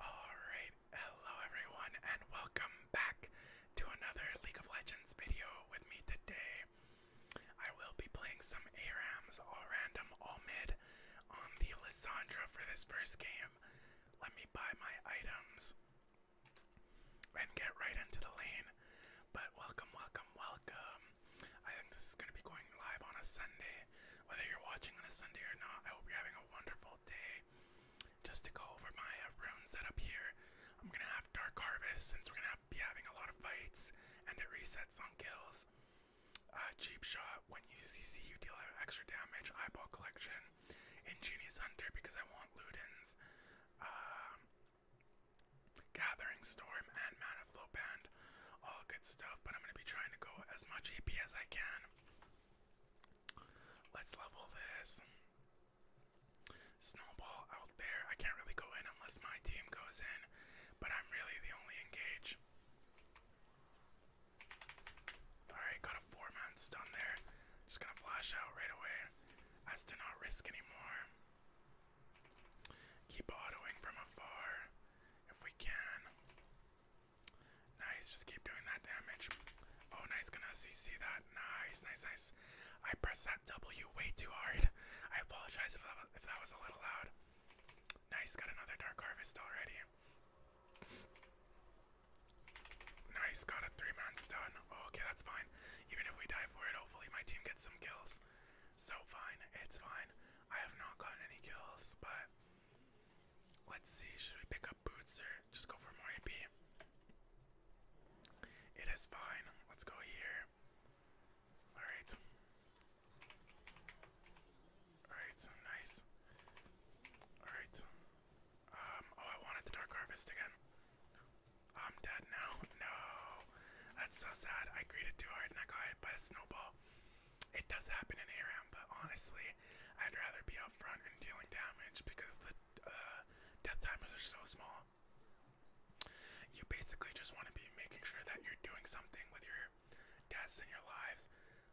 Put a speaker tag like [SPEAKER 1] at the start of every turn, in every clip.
[SPEAKER 1] Alright, hello everyone, and welcome back to another League of Legends video with me today. I will be playing some ARAMs, all random, all mid, on the Lissandra for this first game. Let me buy my items and get right into the lane. But welcome, welcome, welcome. I think this is going to be going live on a Sunday. Whether you're watching on a Sunday or not, I hope you're having a wonderful day. Just to go over my uh, rune setup here, I'm gonna have Dark Harvest since we're gonna be having a lot of fights, and it resets on kills. Uh, cheap Shot when you CC, you deal extra damage. Eyeball Collection, Ingenious Hunter because I want Ludens. Um, Gathering Storm and Mana Flow Band, all good stuff. But I'm gonna be trying to go as much AP as I can. Let's level this. Snowball out there. I can't really go in unless my team goes in, but I'm really the only engage. Alright, got a four man stun there. Just gonna flash out right away as to not risk anymore. Keep autoing from afar if we can. Nice, just keep doing that damage. Oh, nice, gonna CC that. Nice, nice, nice. I pressed that W way too hard. I apologize if that was, if that was a little loud. Nice, got another Dark Harvest already. Nice, got a three man stun. Oh, okay, that's fine. Even if we die for it, hopefully my team gets some kills. So fine, it's fine. I have not gotten any kills, but Let's see, should we pick up boots or just go for more AP? It is fine. Let's go here. Alright. Alright, nice. Alright. Um, oh, I wanted the Dark Harvest again. I'm dead now. No. That's so sad. I greeted too hard and I got hit by a snowball it does happen in ARAM, but honestly, I'd rather be up front and dealing damage because the uh, death timers are so small. You basically just want to be making sure that you're doing something with your deaths and your lives.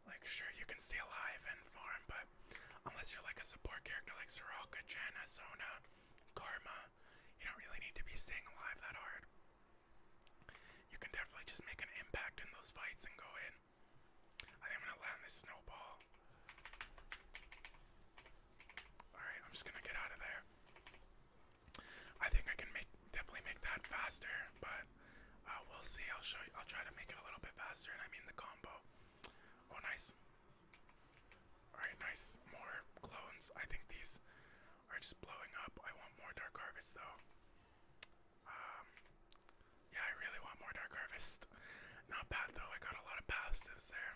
[SPEAKER 1] Like, sure, you can stay alive and farm, but unless you're like a support character like Soraka, Janna, Sona, Karma, you don't really need to be staying alive that hard. You can definitely just make an impact in those fights and go in I think I'm gonna land this snowball. Alright, I'm just gonna get out of there. I think I can make definitely make that faster, but uh, we'll see. I'll show you. I'll try to make it a little bit faster, and I mean the combo. Oh, nice. Alright, nice. More clones. I think these are just blowing up. I want more Dark harvests, though. Um, yeah, I really want more Dark Harvest. Not bad though, I got a lot of passives there.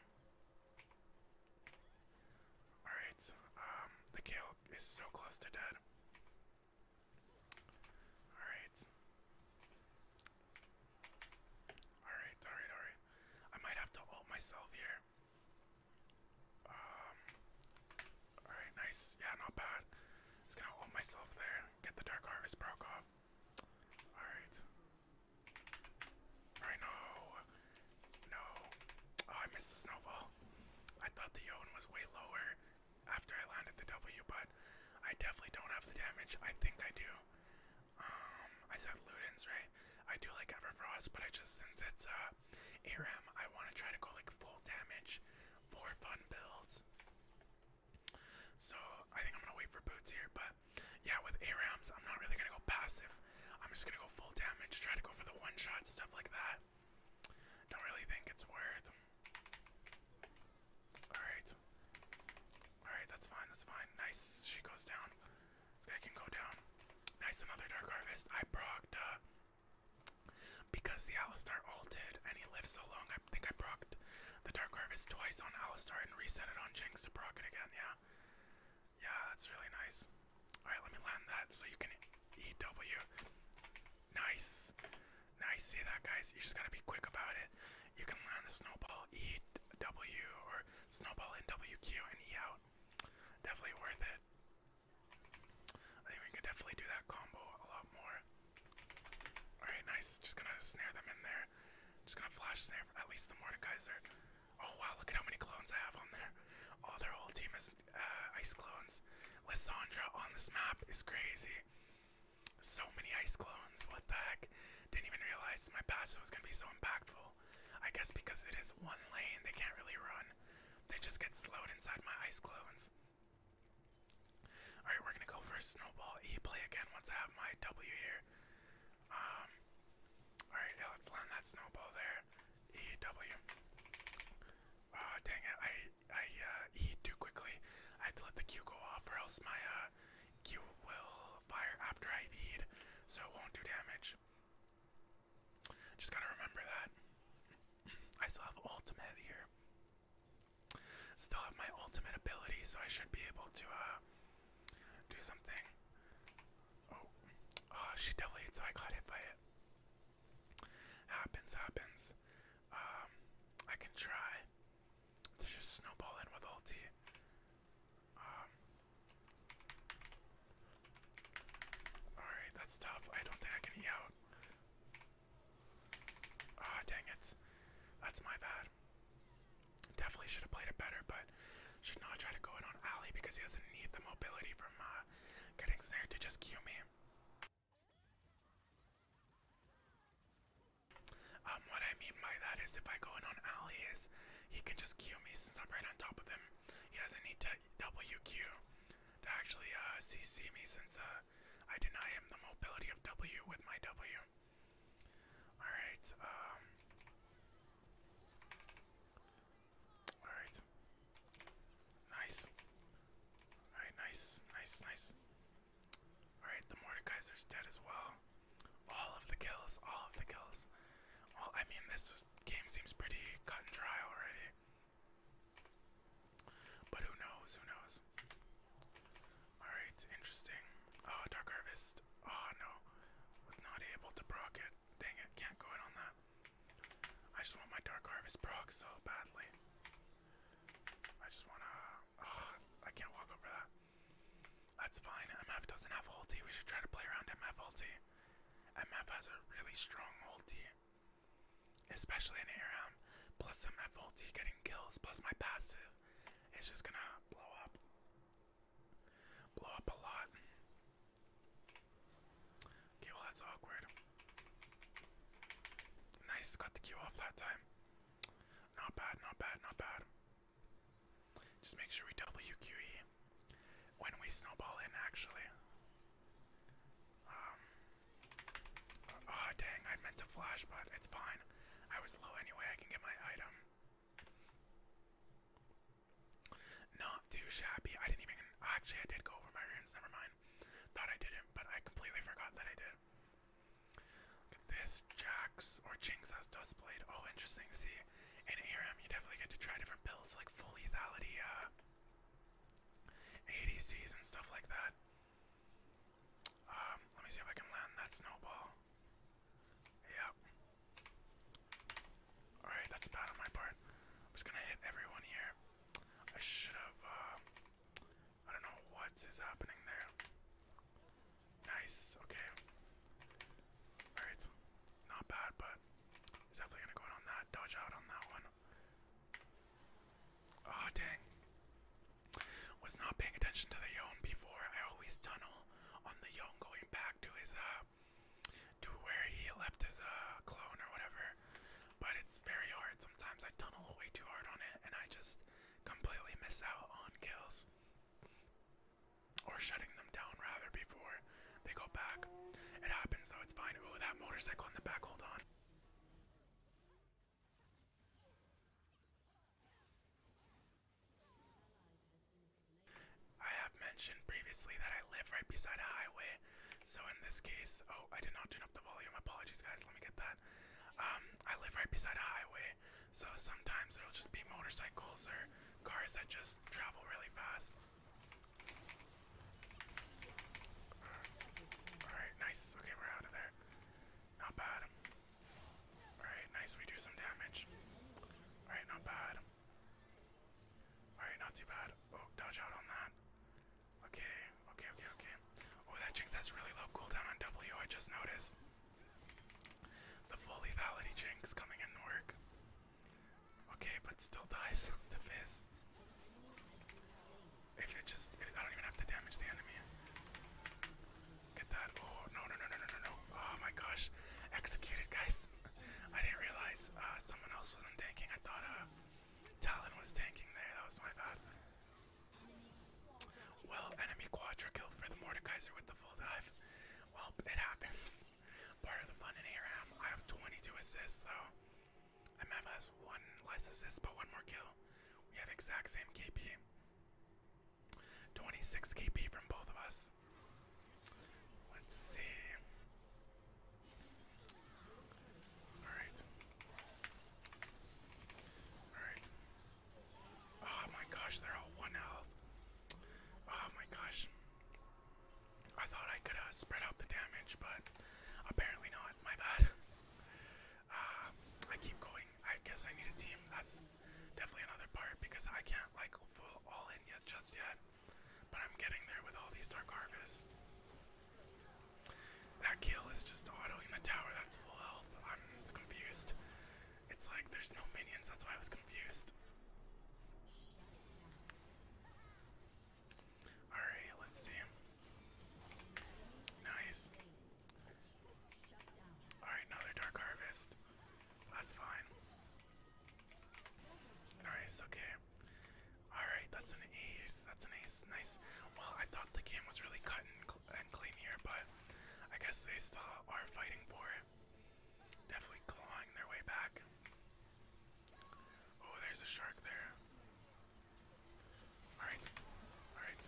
[SPEAKER 1] Alright, um, the Kale is so close to dead. Alright. Alright, alright, alright. I might have to ult myself here. Um, alright, nice. Yeah, not bad. Just gonna hold myself there. Get the Dark Harvest proc off. Alright. Alright, no. No. Oh, I missed the snowball. I thought the Yon was way lower after I landed the W, but I definitely don't have the damage. I think I do. Um, I said Ludens, right? I do like Everfrost, but I just, since it's a uh, ARAM, I want to try to go like full damage for fun builds. So I think I'm gonna wait for boots here, but yeah, with ARAMs, I'm not really gonna go passive. I'm just gonna go full damage, try to go for the one shots, and stuff like that. Don't really think it's worth. Alright. Alright, that's fine, that's fine. Nice, she goes down. This guy can go down. Nice, another Dark Harvest. I procced uh, because the Alistar ulted and he lived so long, I think I procced the Dark Harvest twice on Alistar and reset it on Jinx to proc it again, yeah. Yeah, that's really nice. Alright, let me land that so you can EW. Nice. Nice, see that guys? You just gotta be quick about it. You can land the snowball EW or snowball in WQ and E out. Definitely worth it. I think we could definitely do that combo a lot more. Alright, nice. Just gonna snare them in there. Just gonna flash snare at least the Mordekaiser. Oh wow, look at how many clones I have on there. All their whole team is uh, ice clones. Lissandra on this map is crazy. So many ice clones, what the heck? Didn't even realize my passive was gonna be so impactful. I guess because it is one lane, they can't really run. They just get slowed inside my ice clones. Alright, we're gonna go for a snowball E play again once I have my W here. Um Alright, yeah, let's land that snowball there. E W. Uh dang it, I I uh E too quickly. I have to let the Q go off or else my uh, Q will fire after I so it won't do damage. Just gotta remember that. I still have ultimate here. Still have my ultimate ability, so I should be able to uh, do something. Oh, oh she delayed, so I got hit by it. Happens, happens. Um, I can try just snowball with ulti. Um, all right, that's tough. I don't think I can out. Ah, oh, dang it. That's my bad. Definitely should have played it better, but should not try to go in on Ali because he doesn't need the mobility from uh, getting snared to just cue me. Um, what I mean by that is if I go in on Ali is he can just cue me since I'm right on top of him. He doesn't need to WQ to actually uh, CC me since uh, I deny him the mobility of W with my W. Alright, um. Alright. Nice. Alright, nice, nice, nice. Alright, the Mordekaiser's dead as well. All of the kills, all of the kills. Well, I mean, this game seems pretty cut and dry already. But who knows? Who knows? Alright, interesting. Ah, Dark Harvest. Oh no. Was not able to proc it. Dang it, can't go in on that. I just want my Dark Harvest proc so badly. I just wanna. Ah, I can't walk over that. That's fine. MF doesn't have ulti. We should try to play around MF ulti. MF has a really strong ulti especially in ARM, um, plus some FVT getting kills, plus my passive, it's just gonna blow up. Blow up a lot. Okay, that's awkward. Nice, got the Q off that time. Not bad, not bad, not bad. Just make sure we WQE when we snowball in, actually. Um, oh, dang, I meant to flash, but it's fine. I was low anyway, I can get my item. Not too shabby. I didn't even. Actually, I did go over my runes, never mind. Thought I didn't, but I completely forgot that I did. this. Jax or Jinx has Oh, interesting. See, in ARM, you definitely get to try different builds like full lethality, ADCs, and stuff like that. Um, let me see if I can land that snowball. Yep. Alright, that's bad on my part. just gonna hit everyone here. I should have, uh, I don't know what is happening there. Nice, okay. Alright, not bad, but it's definitely gonna go in on that. Dodge out on that one. Oh dang. Was not paying attention to the Yon before. I always tunnel on the Yon going back to his uh to where he left his uh clone or whatever. But it's very hard. Sometimes I tunnel way too hard on it and I just completely miss out on kills. Or shutting them down rather before they go back. It happens though, it's fine. Ooh, that motorcycle in the back, hold on. I have mentioned previously that I live right beside a highway, so in this case, oh, I did not turn up the volume. Apologies, guys. Let me get that. Um, I live right beside a highway, so sometimes there will just be motorcycles or cars that just travel really fast. Alright, nice. Okay, we're out of there. Not bad. Alright, nice. We do some damage. Alright, not bad. Alright, not too bad. Oh, dodge out on that. Okay, okay, okay, okay. Oh, that Jinx has really low cooldown on W, I just noticed. The full lethality Jinx coming in work. Okay, but still dies to Fizz. If it just, I don't even have to damage the enemy. Get that. Oh, no, no, no, no, no, no, Oh my gosh. Executed, guys. I didn't realize uh, someone else wasn't tanking. I thought uh, Talon was tanking there. That was my bad. Well, enemy quadra kill for the Mordekaiser with the full dive. Well, it happens. Part of the fun in ARAM. I have 22 assists, though. MF has one less but one more kill. We have exact same KP. 26 KP from both of us. Let's see. Alright. Alright. Oh my gosh, they're all one health. Oh my gosh. I thought I could spread out the damage, but apparently not. My bad. Ah, I keep going. I guess I need a team. That's definitely another part because I can't like full all in yet just yet. But I'm getting there with all these dark harvests. That kill is just autoing the tower. That's full health. I'm confused. It's like there's no minions. That's why I was confused. Alright, let's see. Nice. Alright, another Dark Harvest. That's fine. Nice, okay. Alright, that's an ace. That's an ace. Nice. Well, I thought the game was really cut and, clean here, but I guess they still are fighting for it. Definitely clawing their way back. Oh, there's a shark there. Alright. Alright.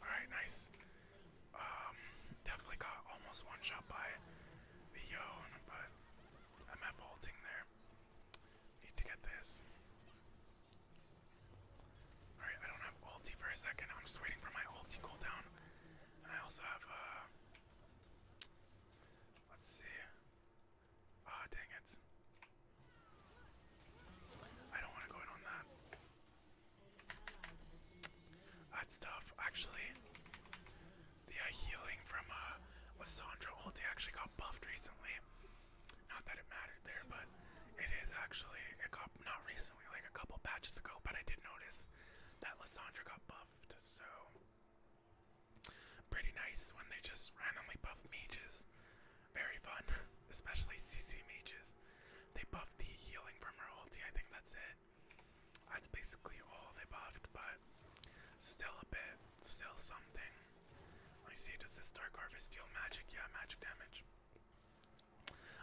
[SPEAKER 1] Alright, nice. Um, definitely got almost one shot by the Yone, but I'm at vaulting there. Need to get this. Alright, I don't have ulti for a second. I'm just waiting for my ulti cooldown. I also have, uh, Let's see. Ah, oh, dang it. I don't want to go in on that. That's tough, actually. The uh, healing from uh, Lissandra ulti actually got buffed recently. Not that it mattered there, but it is actually, it got, not recently, like a couple patches ago, but I did notice that Lissandra got buffed, so Pretty nice when they just randomly buff mages. Very fun, especially CC mages. They buffed the healing from her ulti, I think that's it. That's basically all they buffed, but still a bit, still something. Let me see, does this Dark Harvest deal magic? Yeah, magic damage.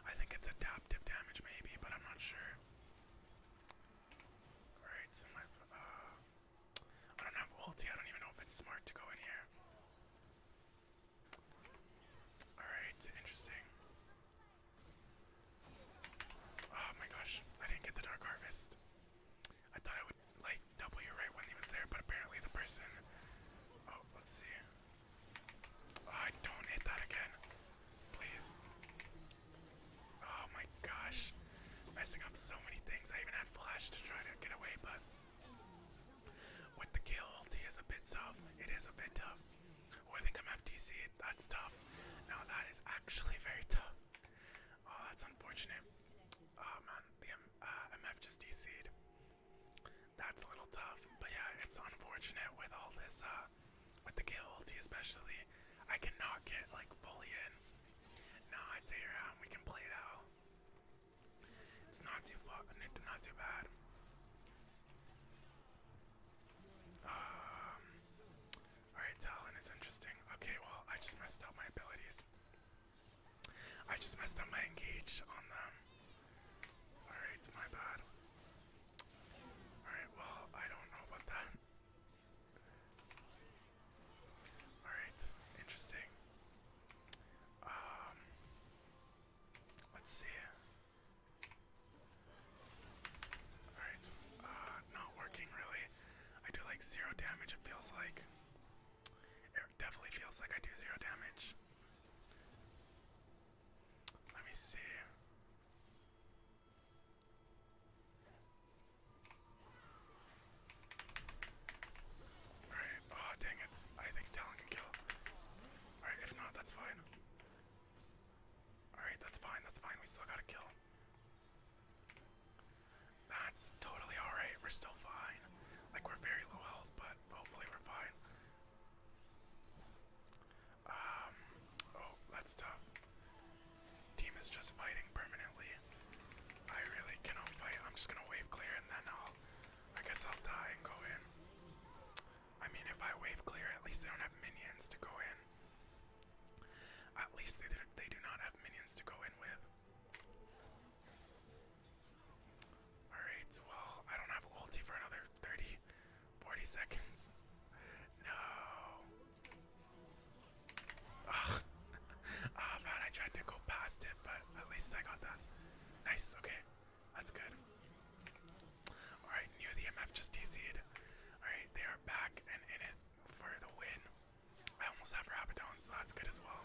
[SPEAKER 1] I think it's adaptive damage maybe, but I'm not sure. Alright, uh, I don't have ulti. I don't even know if it's smart to go in here. Alright, interesting. Oh my gosh, I didn't get the Dark Harvest. I thought I would, like, W right when he was there, but apparently the person. Oh, let's see. Oh, I don't hit that again. Please. Oh my gosh. Messing up so many things. I even had flash to try to get away, but with the kill ult, he is a bit soft. It is a bit tough. Oh, I think I'm FTC. That's tough. No, that is actually very tough. Oh, that's unfortunate. Oh man, the MF uh, just DC'd. That's a little tough, but yeah, it's unfortunate with all this, uh, with the kill ulti especially. I cannot get like fully in. No, I'd say we can play it out. It's not too far, not too bad. Um, Alright, Talon is interesting. Okay, well, I just messed up my abilities. I just messed up my engage on them. Alright, my bad. Alright, well, I don't know about that. Alright, interesting. Um let's see. Alright. Uh not working really. I do like zero damage, it feels like. It definitely feels like I do zero damage. Let me see. Alright, oh dang it. I think Talon can kill. Alright, if not, that's fine. Alright, that's fine, that's fine. We still got to kill. him. That's totally alright. We're still fine. Like, we're very low health, but hopefully we're fine. Um, oh, that's tough. Team is just fighting permanently. I really cannot fight. I'm just gonna wave clear and then I'll. I guess I'll die and go in. I mean, if I wave clear, at least they don't have minions to go in. At least they, they do not have minions to go in with. Alright, well, I don't have ulti for another 30, seconds. No. Oh, oh man, I tried to go past it, but at least I got that. Nice, okay. That's good. Alright, knew the MF just dc Alright, they are back and in it for the win. I almost have Rabadon, so that's good as well.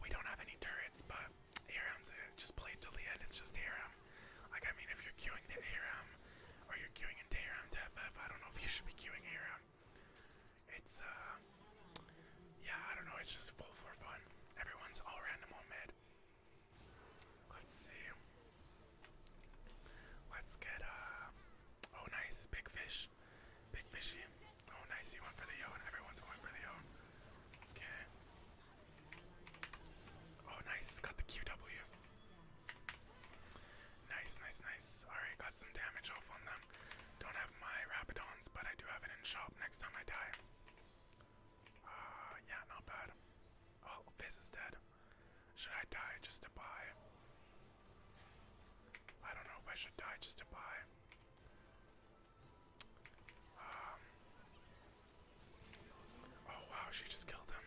[SPEAKER 1] We don't have any turrets, but ARM's uh, just played till the end, it's just ARM. Like, I mean, if you're queuing to ARM, or you're queuing into ARM to FF, I don't know if you should be queuing ARM it's uh yeah, I don't know, it's just full for fun. Everyone's all random on mid. Let's see. Let's get uh oh nice, big fish. Big fishy. Oh nice, he went for the yo and everyone's going for the yo. Okay. Oh nice, got the QW. Nice, nice, nice. Alright, got some damage off on them. Don't have my Rapidons, but I do have it in shop next time I die. Uh, yeah, not bad. Oh, Fizz is dead. Should I die just to buy? I don't know if I should die just to buy. Um. Oh wow, she just killed him.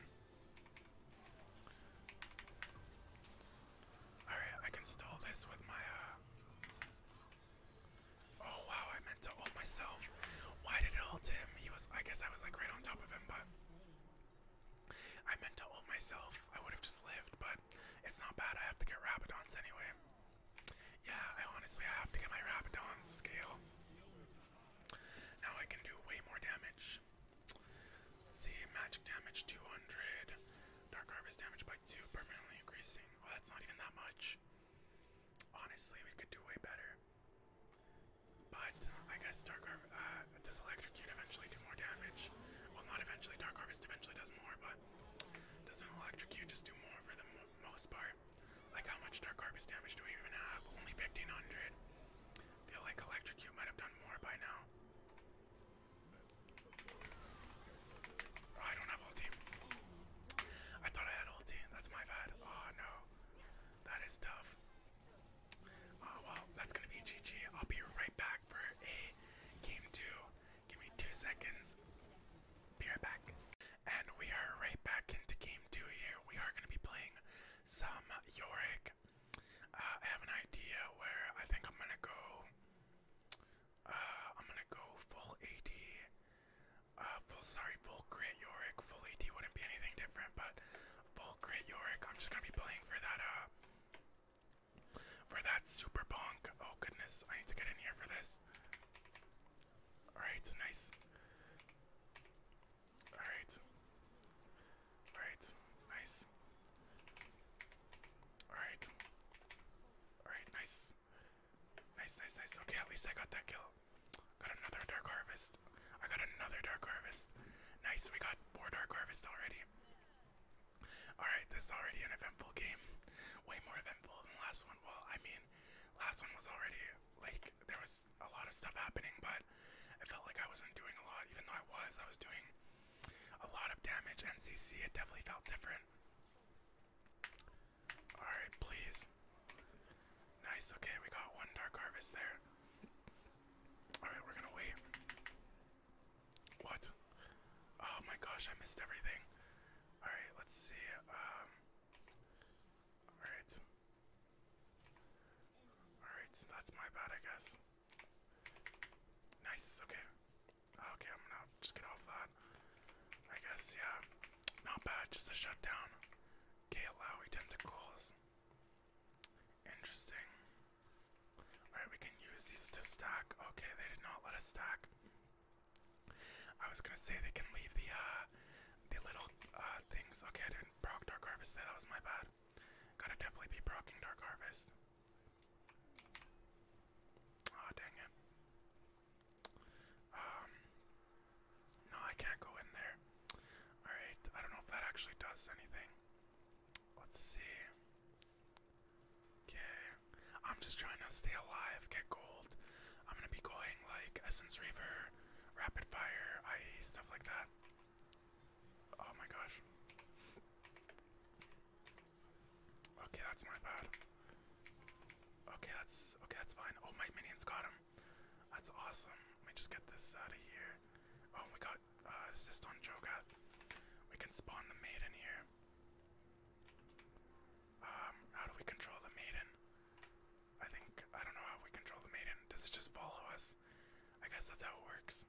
[SPEAKER 1] Alright, I can stall this with my, uh, Oh, wow, I meant to ult myself. Why did it ult him? He was, I guess I was, like, right on top of him, but... I meant to ult myself. I would have just lived, but it's not bad. I have to get Rabidons anyway. Yeah, I honestly I have to get my Rabidons scale. Now I can do way more damage see, magic damage 200. Dark Harvest damage by 2, permanently increasing. Well, that's not even that much. Honestly, we could do way better. But I guess Dark Harvest, uh, does Electrocute eventually do more damage? Well, not eventually, Dark Harvest eventually does more, but doesn't Electrocute just do more for the most part? Like, how much Dark Harvest damage do we even have? Only 1500. Feel like Electrocute might have done more by now. I don't have ulti. I thought I had ulti. That's my bad. Oh no. That is tough. Oh well, that's gonna be GG. I'll be right back for a game two. Give me two seconds. Be right back. And we are right back into game two here. We are gonna be playing some Yorick uh, I have an idea where I think I'm gonna go. Uh, I'm gonna go full AD. Uh, full sorry, full crit Yorick. Full AD wouldn't be anything different, but full crit Yorick. I'm just gonna be playing for that. Uh, for that super bonk. Oh goodness, I need to get in here for this. Alright, nice. Alright. Alright, nice. Alright. Alright, nice. Nice, nice, nice. Okay, at least I got that kill. Got another Dark Harvest. I got another Dark Harvest. Nice, we got four Dark Harvest already. Alright, this is already an eventful game. Way more eventful than the last one. Well, I mean, last one was already like there was a lot of stuff happening, but I felt like I wasn't doing a lot, even though I was. I was doing a lot of damage. NCC, it definitely felt different. Alright, please. Nice, okay, we got one Dark Harvest there. Alright, we're gonna wait. What? Oh my gosh, I missed everything. Alright, let's see. Um, Alright. Alright, that's my bad, I guess. Nice, okay. Okay, I'm gonna just get off that. I guess, yeah. Not bad, just a shutdown. Okay, allow tentacles. Interesting. Alright, we can use these to stack. Okay, they did not let us stack. I was gonna say they can leave the uh the little uh things. Okay, I didn't proc Dark Harvest that was my bad. Gotta definitely be procking Dark Harvest. Oh, dang it. Um, no, I can't go in there. Alright, I don't know if that actually does anything. Let's see. Okay, I'm just trying to stay alive, get gold. I'm gonna be going like Essence Reaver, Rapid Fire, IE, stuff like that. Oh my gosh. Okay, that's my bad. Okay, that's okay, that's fine. Oh, my minions got him. That's awesome. Let me just get this out of here. Oh, we got uh, assist on Jogat. We can spawn the maiden here. Um, how do we control the maiden? I think I don't know how we control the maiden. Does it just follow us? I guess that's how it works.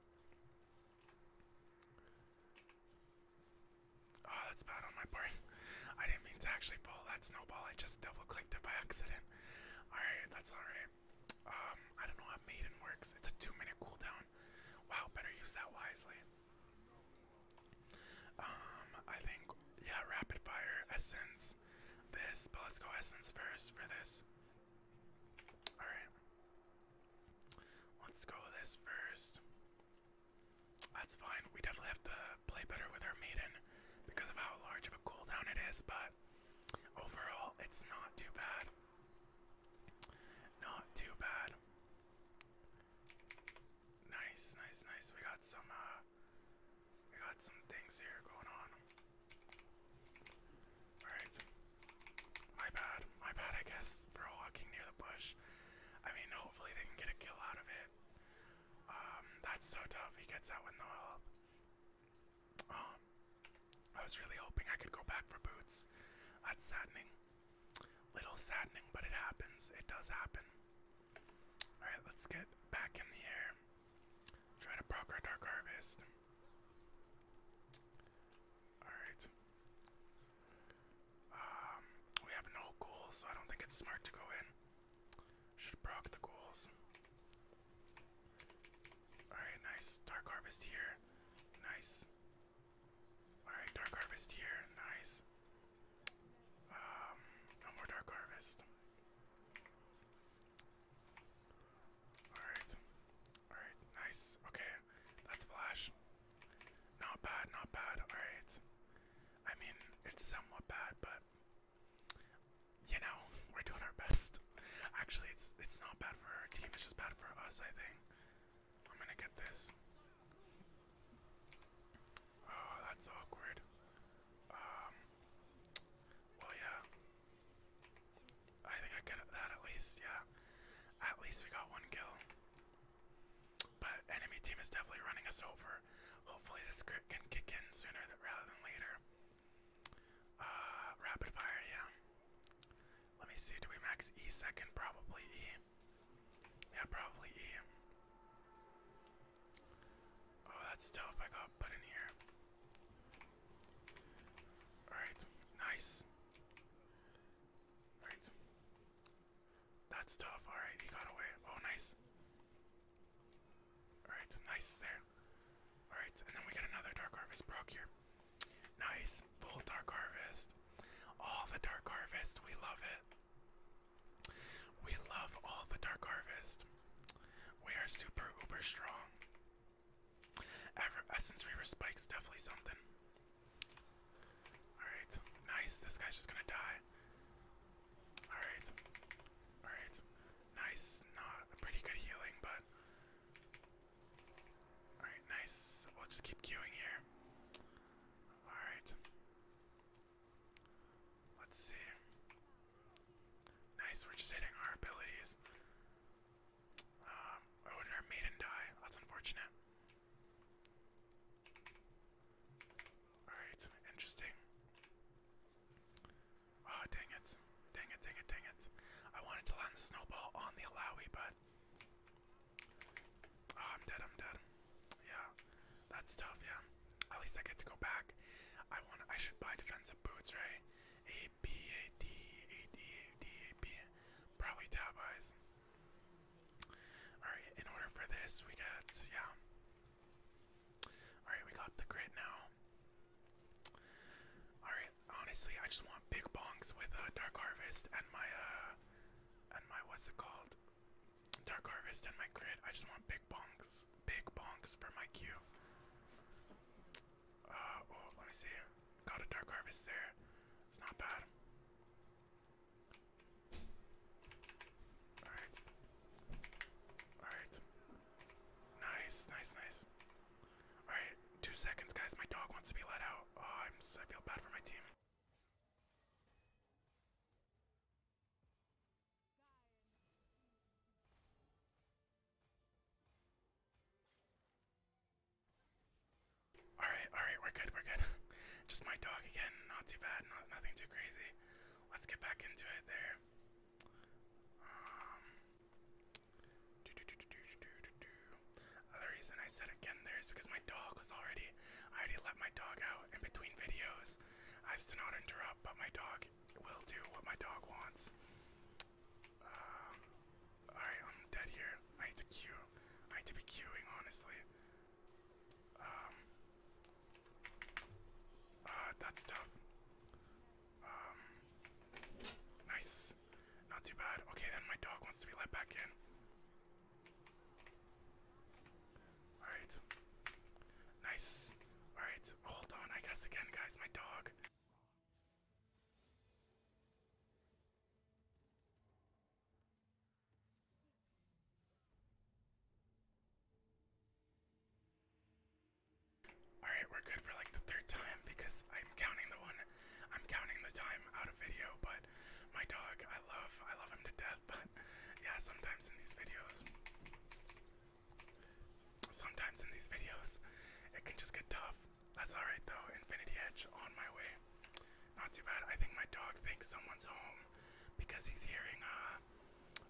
[SPEAKER 1] Oh, that's bad on my part. I didn't mean to actually pull that snowball. I just double clicked it by accident. Alright, that's alright. Um, I don't know how Maiden works. It's a two minute cooldown. Wow, better use that wisely. Um, I think, yeah, rapid fire, essence, this, but let's go essence first for this. Alright. Let's go with this first. That's fine. We definitely have to play better with our maiden because of how large of a cooldown it is, but overall, it's not too bad. Not too bad. Nice, nice, nice. We got some, uh, we got some things here going on. Alright. My bad. My bad, I guess, for walking near the bush. I mean, hopefully they can get a kill out of it. Um, that's so tough. He gets out with no help. Um, I was really hoping I could go back for boots. That's saddening. Little saddening, but it happens. It does happen. Alright, let's get back in the air. Try to proc Dark Harvest. Alright. Um, we have no goals, so I don't think it's smart to go in. Should proc the goals. Alright, nice. Dark Harvest here. Nice. Alright, Dark Harvest here. Nice. Um, no more Dark Harvest. Alright. Alright, nice. Okay, that's Flash. Not bad, not bad. Alright. I mean, it's somewhat bad, but you know, we're doing our best. Actually, it's it's not bad for our team, it's just bad for us, I think. I'm gonna get this. Oh, that's awkward. Um, well, yeah, I think I got that at least, yeah. At least we got one kill. But enemy team is definitely running us over. Hopefully this crit can kick in sooner rather than later. Uh, rapid fire, yeah. Let me see, do we max E second? Probably E. Yeah, probably E. Oh, that's tough. I got put in here. Alright, nice. Alright. That's tough. Alright, he got away. Oh, nice. Alright, nice there. Alright, and then we get another Dark Harvest proc here. Nice. Full Dark Harvest. All the Dark Harvest. We love it. We love all the Dark Harvest. We are super uber strong. Essence uh, Reaver Spike's definitely something. Alright, nice. This guy's just gonna die. Alright. Alright. Nice. Not a pretty good healing, but. Alright, nice. We'll just keep queuing here. Alright. Let's see. Nice, we're just hitting our abilities. Um, our maiden die? That's unfortunate. Alright, interesting. Oh, dang it. Dang it, dang it, dang it. I wanted to land the snowball on the Alawi, but. Oh, I'm dead, I'm dead. Yeah, that's tough, yeah. At least I get to go back. I want. I should buy defensive boots, right? A B A D A D A D A B. Probably top eyes. Alright, in order for this we got yeah. Alright, we got the grit now. Alright, honestly I just want big bongs with uh, Dark Harvest and my uh and my what's it called? Dark Harvest and my grid. I just want big bonks. Big bonks for my Q. Uh, oh, let me see. Got a dark harvest there. It's not bad. Alright. Alright. Nice, nice, nice. Alright, two seconds, guys. My dog wants to be let out. Oh, I'm, I feel bad for my team. Alright, alright, we're good, we're good. Just my dog again, not too bad, nothing too crazy. Let's get back into it there. Um, the reason I said again there is because my dog was already, I already let my dog out in between videos. I used to not interrupt, but my dog will do what my dog wants. Um, alright, I'm dead here. I need to queue. I need to be queuing, honestly. Um, uh, that's tough. Um, nice. Not too bad. Okay, then my dog wants to be let back in. Alright. Nice. Alright, hold on, I guess again, guys, my dog. Alright, we're good for like the third time because I'm counting the one I'm counting the time out of video, but my dog, I love I love him to death, but yeah, sometimes in these videos sometimes in these videos it can just get tough. That's alright though, Infinity Edge on my way. Not too bad. I think my dog thinks someone's home because he's hearing uh,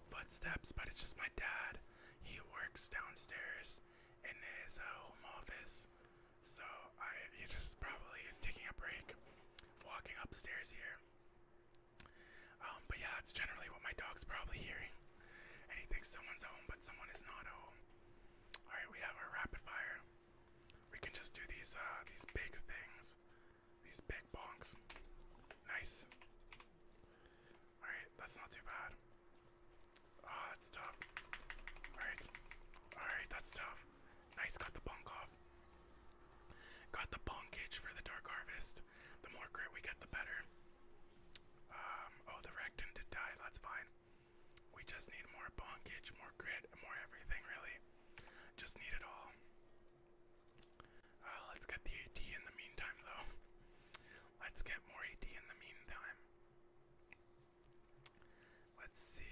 [SPEAKER 1] footsteps, but it's just my dad. He works downstairs in his uh, home office, so he just probably is taking a break, walking upstairs here. Um, but yeah, that's generally what my dog's probably hearing. And he thinks someone's home, but someone is not home. All right, we have our rapid fire. We can just do these uh, these big things, these big bonks. Nice. All right, that's not too bad. Oh, that's tough. All right, all right, that's tough. Nice, got the bonk off. Got the bonkage for the dark harvest. The more grit we get, the better. Um, oh, the rectum did die. That's fine. We just need more bonkage, more grit, and more everything, really. Just need it all. Uh, let's get the AD in the meantime, though. Let's get more AD in the meantime. Let's see.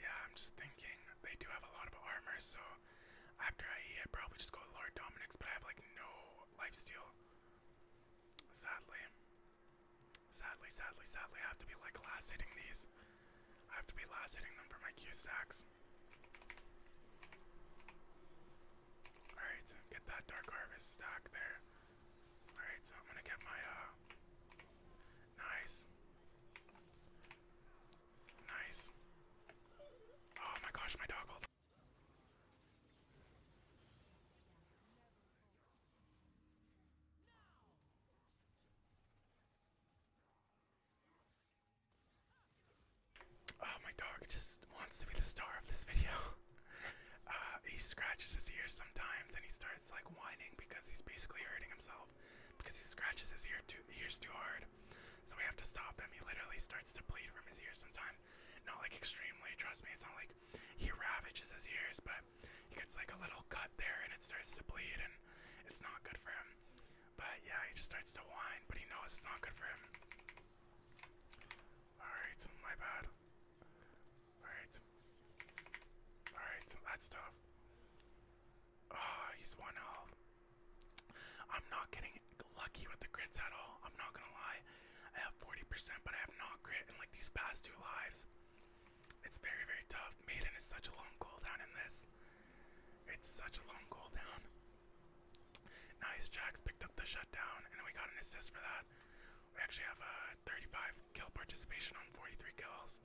[SPEAKER 1] Yeah, I'm just thinking they do have a lot of armor, so after I I probably just go Lord Dominic's, but I have like no lifesteal. Sadly. Sadly, sadly, sadly, I have to be like last hitting these. I have to be last hitting them for my Q sacks. Alright, get that Dark Harvest stack there. Alright, so I'm gonna get my, uh. Nice. Nice. Oh my gosh, my dog Oh, my dog just wants to be the star of this video. Uh, he scratches his ears sometimes and he starts like whining because he's basically hurting himself because he scratches his ear too, ears too hard. So we have to stop him. He literally starts to bleed from his ears Sometimes, Not like extremely, trust me, it's not like he ravages his ears, but he gets like a little cut there and it starts to bleed and it's not good for him. But yeah, he just starts to whine, but he knows it's not good for him. Alright, my bad. Alright. Alright, that's tough. Oh, he's one health. I'm not getting lucky with the crits at all. I'm not gonna lie. I have 40%, but I have not grit in like these past two lives. It's very, very tough. Maiden is such a long cooldown in this. It's such a long cooldown. Nice, Jacks picked up the shutdown, and we got an assist for that. We actually have a 35 kill participation on 43 kills.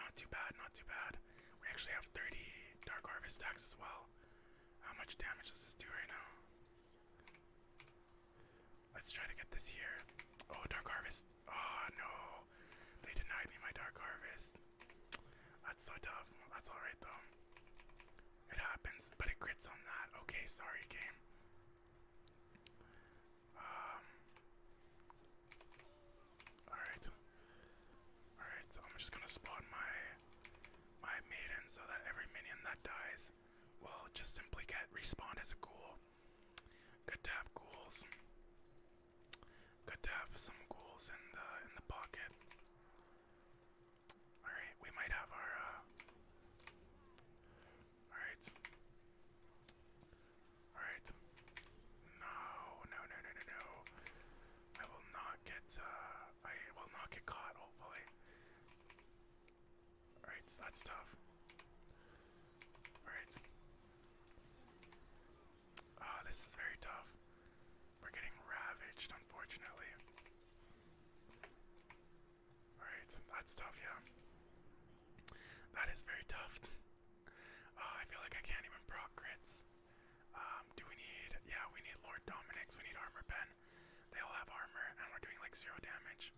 [SPEAKER 1] Not too bad, not too bad. We actually have 30 Dark Harvest stacks as well. How much damage does this do right now? Let's try to get this here. Oh, Dark Harvest. Oh, no. They denied me my Dark Harvest. That's so tough. That's alright, though. It happens, but it crits on that. Okay, sorry, game. Um. Alright. Alright, so I'm just gonna spawn my my maiden so that every minion that dies will just simply get respawned as a ghoul. Good to have ghouls. Good to have some ghouls in the in the pocket. Alright, we might have our uh, Alright. Alright. No, no, no, no, no, no. I will not get uh, I will not get caught hopefully. Alright, that's tough. Alright. Ah, this is very tough. We're getting ravaged, unfortunately. Alright, that's tough, yeah. That is very tough. oh, I feel like I can't even proc um, do we need, yeah, we need Lord Dominix, we need Armor Ben. They all have armor and we're doing like zero damage.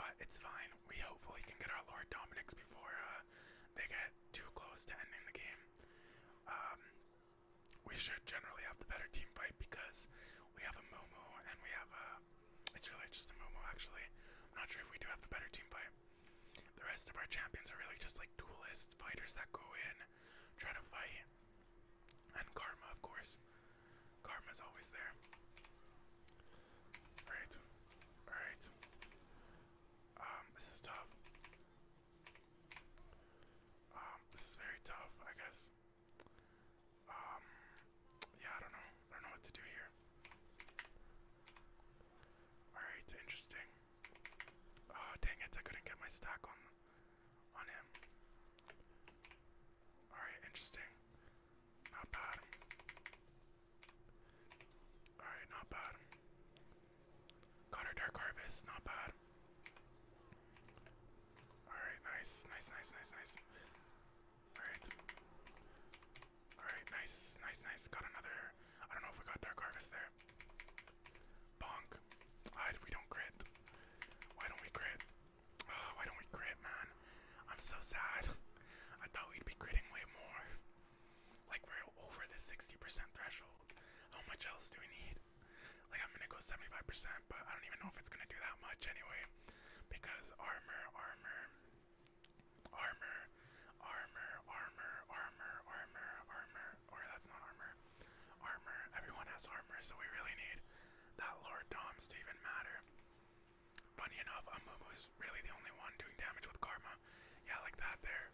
[SPEAKER 1] But it's fine. We hopefully can get our Lord Dominix before uh, they get too close to ending the game. Um, we should generally have the better team fight because we have a Mumu and we have a. It's really just a Mumu actually. I'm not sure if we do have the better team fight. The rest of our champions are really just like duelist fighters that go in try to fight. And karma, of course. Karma's always there. Alright. Alright. Um, this is tough. Um, this is very tough, I guess. Um, yeah, I don't know. I don't know what to do here. Alright, interesting. Oh dang it! I couldn't get my stack on on him. All right, interesting. Not bad. All right, not bad. Got our dark harvest. Not bad. All right, nice, nice, nice, nice, nice. All right. All right, nice, nice, nice. Got another. I don't know if we got dark harvest there. Bonk. Hide if we don't crit. Why don't we crit? Oh, why don't we crit, man? I'm so sad. I thought we'd be critting way more. Like we're over the 60% threshold. How much else do we need? Like I'm gonna go 75%, but I don't even know if it's gonna do that much anyway. Because armor, armor, armor, armor, armor, armor, armor, armor, or that's not armor. Armor. Everyone has armor, so we really need that Lord Doms to even matter. Funny enough, Amumu is really the only one doing damage with Karma. Yeah, like that there.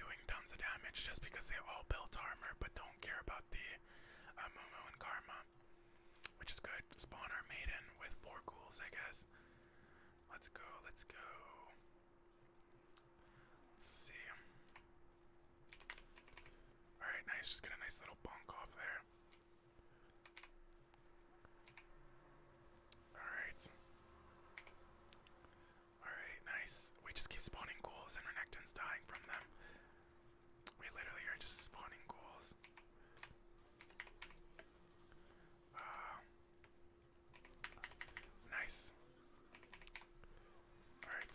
[SPEAKER 1] Doing tons of damage just because they all built armor but don't care about the Amumu and Karma. Which is good. Spawn our maiden with four ghouls, I guess. Let's go, let's go. Let's see. Alright, nice. Just get a nice little bunk off there. Alright. Alright, nice. We just keep spawning ghouls and our Renekton's dying from them. We literally are just spawning ghouls. Uh, Nice. Alright.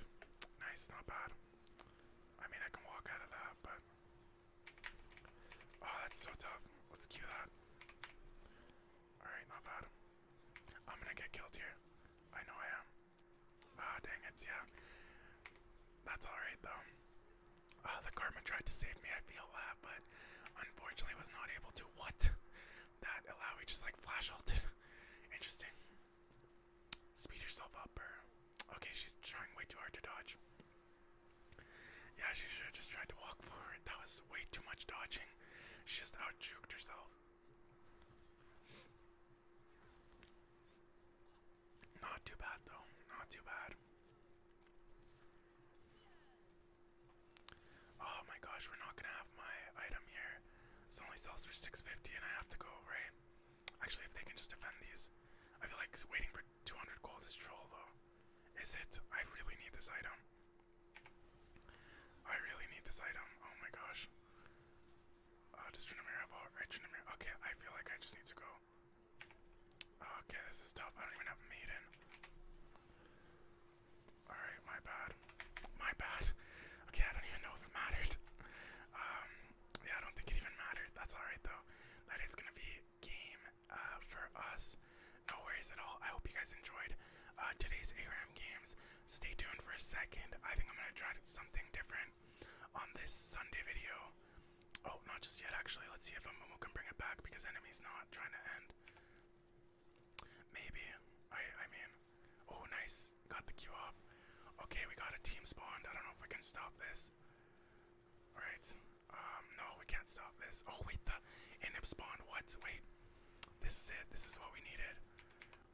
[SPEAKER 1] Nice, not bad. I mean, I can walk out of that, but. Oh, that's so tough. Let's cue that. Alright, not bad. I'm gonna get killed here. I know I am. Ah, dang it, yeah. That's alright, though. Uh, the Karma tried to save me, I feel that, but unfortunately was not able to. What? that allow you just like flash ulted. Interesting. Speed yourself up, or okay, she's trying way too hard to dodge. Yeah, she should have just tried to walk forward. That was way too much dodging. She just out juked herself. Not too bad though. Not too bad. Oh my gosh, we're not gonna have my item here. This only sells for 650 and I have to go, right? Actually, if they can just defend these. I feel like waiting for 200 gold is troll though. Is it? I really need this item. I really need this item. Oh my gosh. Uh, does Trinamir have all right? Trinamir. Okay, I feel like I just need to go. Okay, this is tough. I don't even have Maiden. Alright, my bad. My bad. Okay, I don't even know if it mattered. Um, yeah, I don't think it even mattered. That's alright, though. That is gonna be game uh, for us. No worries at all. I hope you guys enjoyed uh, today's ARAM games. Stay tuned for a second. I think I'm gonna try something different on this Sunday video. Oh, not just yet, actually. Let's see if Amumu can bring it back because Enemy's not trying to end. Maybe. I I mean. Oh nice. Got the queue up. Okay, we got a team spawned. I don't know if we can stop this. Alright. Um, no, we can't stop this. Oh wait, the inib spawned. What? Wait. This is it. This is what we needed.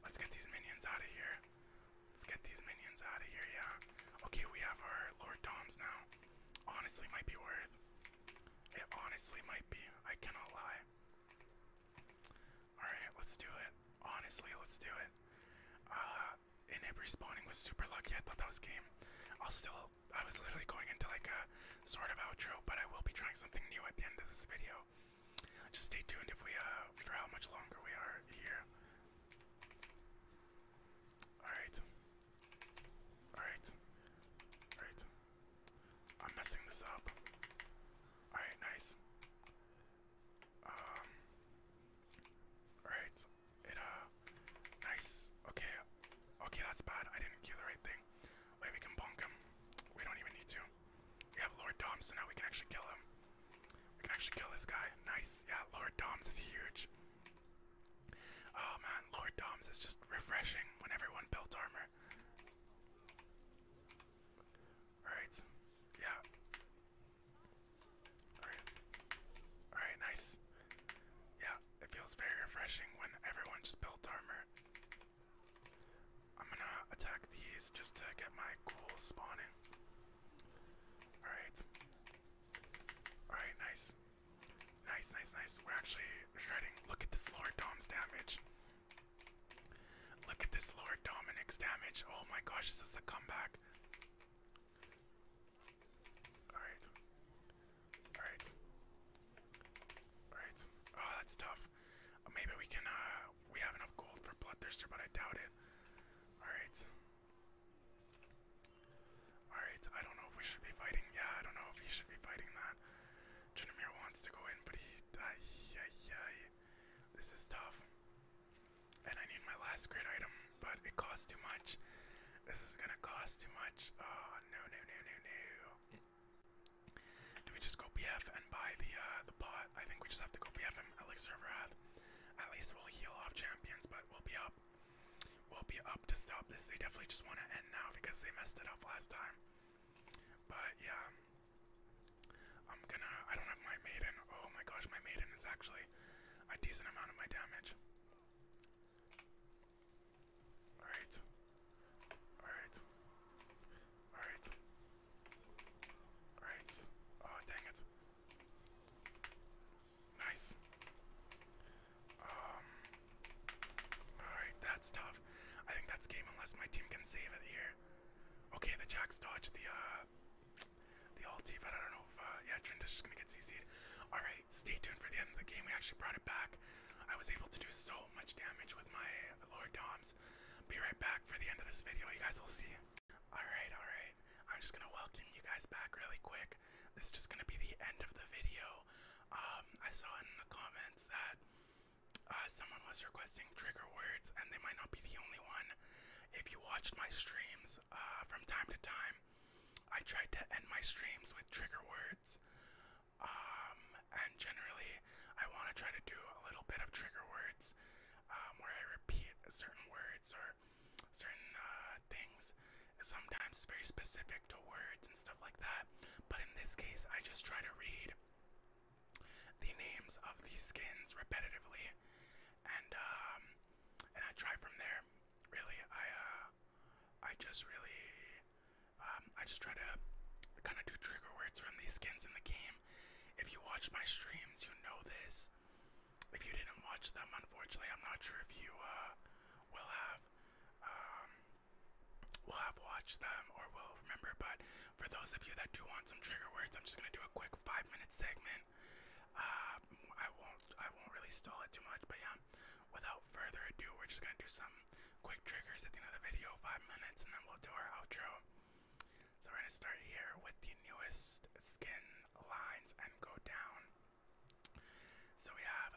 [SPEAKER 1] Let's get these minions out of here. Let's get these minions out of here, yeah. Okay, we have our Lord Doms now. Honestly might be worth. It honestly might be. I cannot lie. Alright, let's do it. Honestly, let's do it. Uh, Inib respawning was super lucky. I thought that was game. I'll still, I was literally going into like a sort of outro, but I will be trying something new at the end of this video. Just stay tuned if we, uh, for how much longer we are here. Alright. Alright. Alright. I'm messing this up. Alright, nice. Um Alright. It uh nice. Okay. Okay, that's bad. I didn't kill the right thing. Maybe we can punk him. We don't even need to. We have Lord Dom, so now we can actually kill him. We can actually kill this guy. Nice. Yeah, Lord Dom's is huge. Oh man, Lord Dom's is just refreshing when everyone built armor. Alright. Yeah. Alright. Alright, nice. Yeah, it feels very refreshing when everyone just built armor. I'm gonna attack these just to get my cool spawning. Alright. Alright, nice. Nice, nice, nice. We're actually shredding. Look at this Lord Dom's damage. Look at this Lord Dominic's damage. Oh my gosh, this is the comeback. Alright. Alright. Alright. Oh, that's tough. Uh, maybe we can, uh, we have enough gold for Bloodthirster, but I doubt it. Alright. Alright, I don't know if we should be fighting. Yeah, I don't know if he should be fighting that. Junimir wants to go in, but he. Ay, ay, ay. This is tough. And I need my last crit item, but it costs too much. This is gonna cost too much. Oh, no, no, no, no, no. Do we just go BF and buy the uh, the pot? I think we just have to go BF and Elixir of Wrath. At least we'll heal off champions, but we'll be up. We'll be up to stop this. They definitely just want to end now because they messed it up last time. But yeah, I'm gonna. I don't have my maiden. Oh my gosh, my maiden is actually a decent amount of my damage. Alright. Alright. Alright. Alright. Oh, dang it. Nice. Um. Alright, that's tough. I think that's game unless my team can save it here. Okay, the Jacks dodged the uh the ulti, but I don't know if uh yeah, Trindis is gonna get CC'd. Alright, stay tuned for the end of the game. We actually brought it back. I was able to do so much damage with my Lord Doms. Be right back for the end of this video, you guys will see. Alright, alright. I'm just gonna welcome you guys back really quick. This is just gonna be the end of the video. Um, I saw in the comments that uh, someone was requesting trigger words, and they might not be the only one. If you watched my streams uh, from time to time, I tried to end my streams with trigger words. Um, and generally, I want to try to do a little bit of trigger words um, where I repeat certain words or certain uh, things. Sometimes very specific to words and stuff like that. But in this case, I just try to read the names of these skins repetitively, and um, and I try from there. Really, I uh, I just really um, I just try to kind of do trigger words from these skins in the game. If you watch my streams, you know this. If you didn't watch them, unfortunately, I'm not sure if you uh, will have. Um, will have watched them or will remember. But for those of you that do want some trigger words, I'm just gonna do a quick five-minute segment. Um, I won't, I won't really stall it too much. But yeah, without further ado, we're just gonna do some quick triggers at the end of the video, five minutes, and then we'll do our outro. So we're gonna start here with the newest skin lines and go down. So we have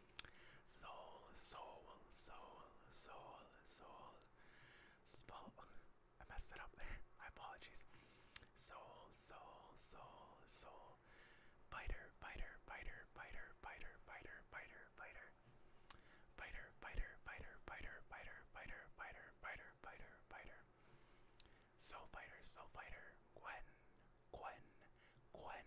[SPEAKER 1] Soul, soul, soul, soul, soul, soul. I messed it up there. My apologies. Soul, soul, soul, soul. Biter, biter, biter, biter, biter, biter, biter, biter. Biter, biter, biter, biter, biter, biter, biter, biter, biter, biter. Soul fighter, soul fighter. Gwen, Gwen, Gwen,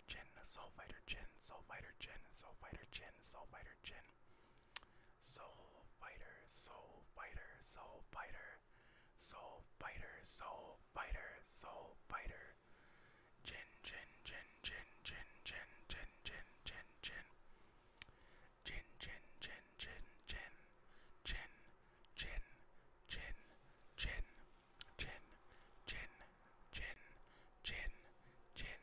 [SPEAKER 1] hydrogen, sulfite hydrogen, sulfite hydrogen, sulfite hydrogen, sulfite hydrogen. Soul fighter, soul fighter, soul fighter, soul fighter, soul fighter, soul fighter. Gin, gin, gin, gin, gin, gin, gin, gin, gin, gin. Gin, gin, gin, gin, gin, gin, gin, gin, gin, gin, gin, gin, gin, gin.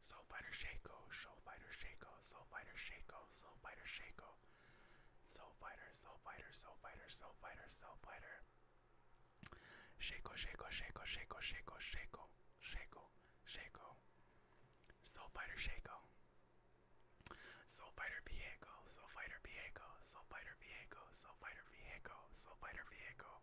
[SPEAKER 1] Soul Fighter Shaco, Soul Fighter Shaco, Soul Fighter Shaco, Soul Fighter Shaco, Soul Fighter, Soul Fighter, Soul Fighter, Soul Fighter, Soul Fighter. Shaco, Shaco, Shaco, Shaco, Shaco, Shaco, Shaco, Shaco. Soul Fighter Shaco. Soul Fighter Viego, Soul Fighter Viego, Soul Fighter Viego, Soul Fighter Viego, Soul Fighter Viego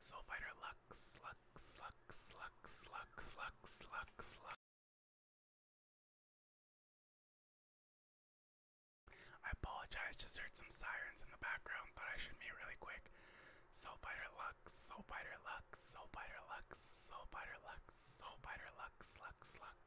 [SPEAKER 1] Soul Fighter Lux, Lux, Lux, Lux, Lux, Lux, Lux, Lux. I apologize, just heard some sirens in the background, thought I should mute really quick. Soul Fighter Lux, Soul Fighter Lux, Soul Fighter Lux, Soul Fighter Lux, Soul Fighter Lux, Lux, Lux.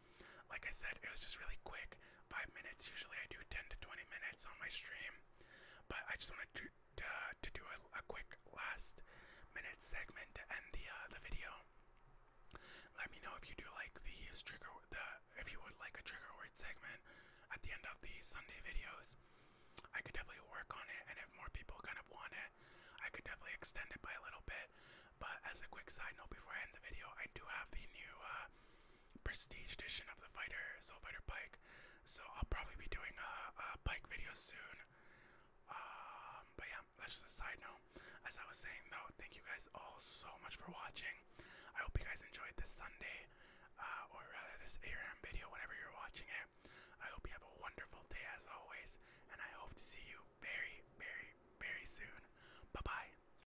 [SPEAKER 1] like I said, it was just really quick, five minutes. Usually I do 10 to 20 minutes on my stream, but I just wanted to, to, do a, quick last minute segment to end the, uh, the video. Let me know if you do like these trigger the if you would like a trigger word segment at the end of the Sunday videos. I could definitely work on it, and if more people kind of want it, I could definitely extend it by a little bit. But as a quick side note, before I end the video, I do have the new uh, prestige edition of the fighter, Soul Fighter Pike. So I'll probably be doing a, a Pike video soon. Um, but yeah, that's just a side note. As I was saying though, thank you guys all so much for watching. I hope you guys enjoyed this Sunday, uh, or rather this ARAM video, whenever you're watching it. I hope you have a wonderful day as always, and I hope to see you very, very, very soon. Bye bye.